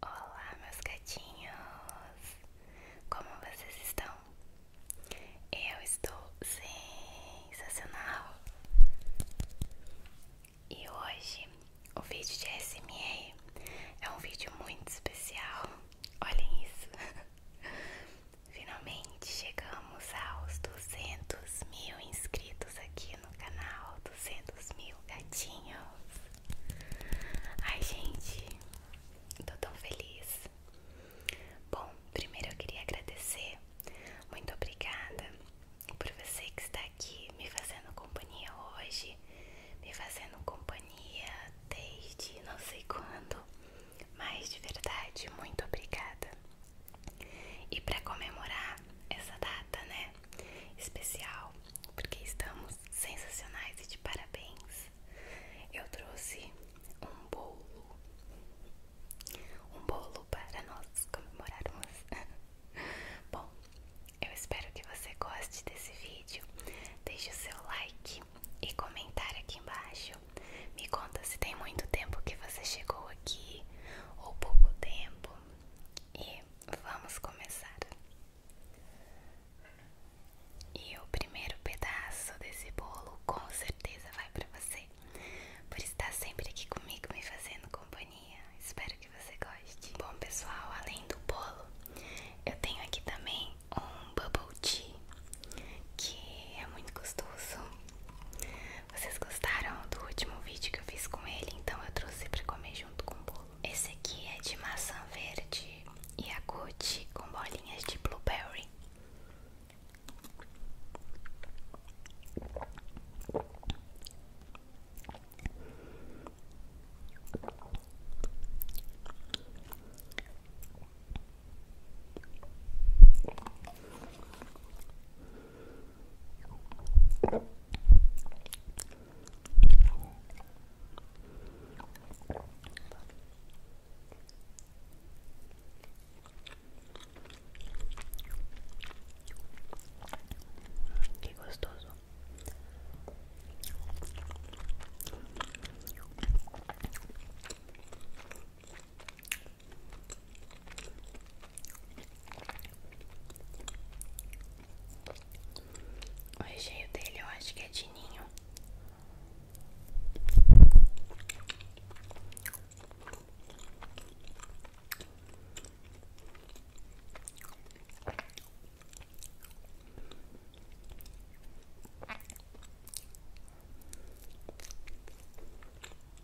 Olá, meus gatinhos! Como vocês estão? Eu estou sensacional! E hoje o vídeo de SMA é um vídeo muito especial. Olhem isso! Finalmente chegamos aos 200 mil inscritos aqui no canal. 200 mil gatinhos! Ai, gente, tô tão feliz. Bom, primeiro eu queria agradecer. Muito obrigada por você que está aqui me fazendo companhia hoje, me fazendo companhia desde não sei quando, mas de verdade, muito obrigada. E para comemorar essa data, né? especial porque estamos sensacionais e de parabéns. Eu trouxe um bolo, um bolo para nós comemorarmos. Bom, eu espero que você goste desse vídeo. Deixe o seu like e comentar aqui embaixo. Me conta se tem muito tempo que você chegou aqui ou pouco tempo vamos começar. E o primeiro pedaço desse bolo com certeza vai para você, por estar sempre aqui comigo me fazendo companhia. Espero que você goste. Bom, pessoal, além do bolo, eu tenho aqui também um bubble tea que é muito gostoso. Vocês gostaram do último vídeo que eu fiz com ele, então eu trouxe para comer junto. Esse aqui é de maçã verde e agute com bolinhas de blueberry. Que gostoso. O recheio dele eu acho que é de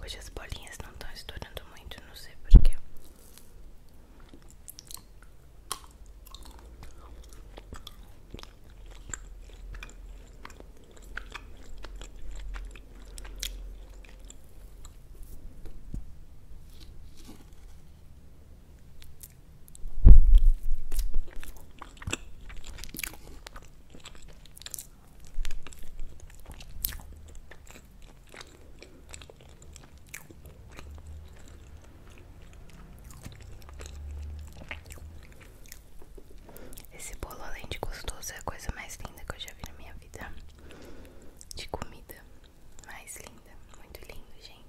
Hoje as bolinhas não estão estourando muito, não sei porquê. Esse bolo, além de gostoso, é a coisa mais linda que eu já vi na minha vida de comida mais linda, muito lindo, gente.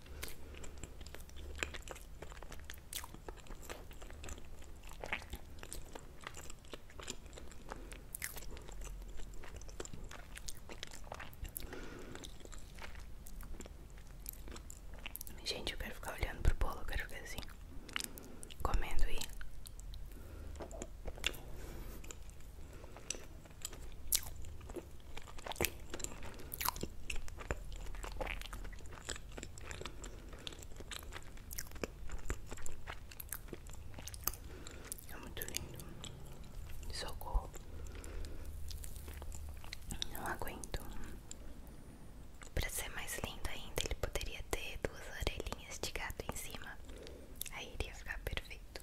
Gente, eu quero ficar olhando pro bolo, eu quero ficar assim, comendo e. É muito lindo. Socorro. Não aguento. Para ser mais lindo ainda, ele poderia ter duas orelhinhas de gato em cima. Aí iria ficar perfeito.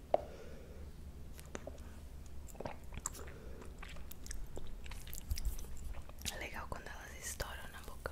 É legal quando elas estouram na boca.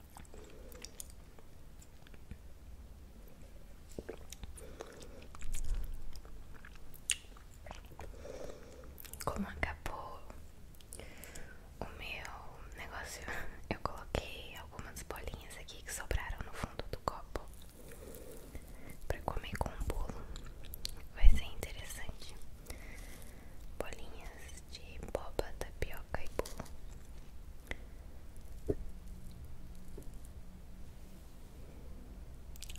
Como acabou o meu negócio, eu coloquei algumas bolinhas aqui que sobraram no fundo do copo para comer com o bolo. Vai ser interessante bolinhas de boba, tapioca e bolo.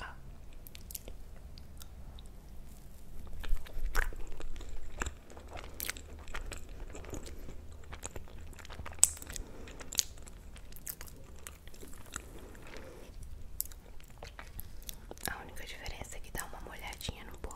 Ah. A única diferença é que dá uma molhadinha no bolo.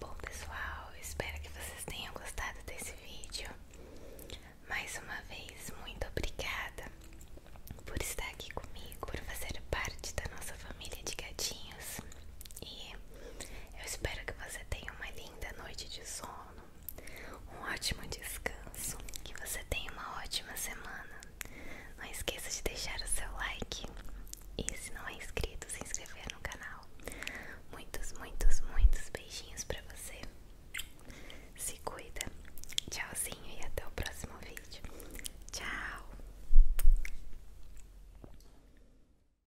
Bom pessoal, espero que vocês tenham gostado desse vídeo. Mais uma vez, muito obrigada por estar aqui comigo, por fazer parte da nossa família de gatinhos. E eu espero que você tenha uma linda noite de sono, um ótimo descanso, que você tenha uma ótima semana. Não esqueça de deixar o seu like e, se não é inscrito, se inscrever no canal. Muitos, muitos, muitos beijinhos pra você. Se cuida. Tchauzinho e até o próximo vídeo. Tchau.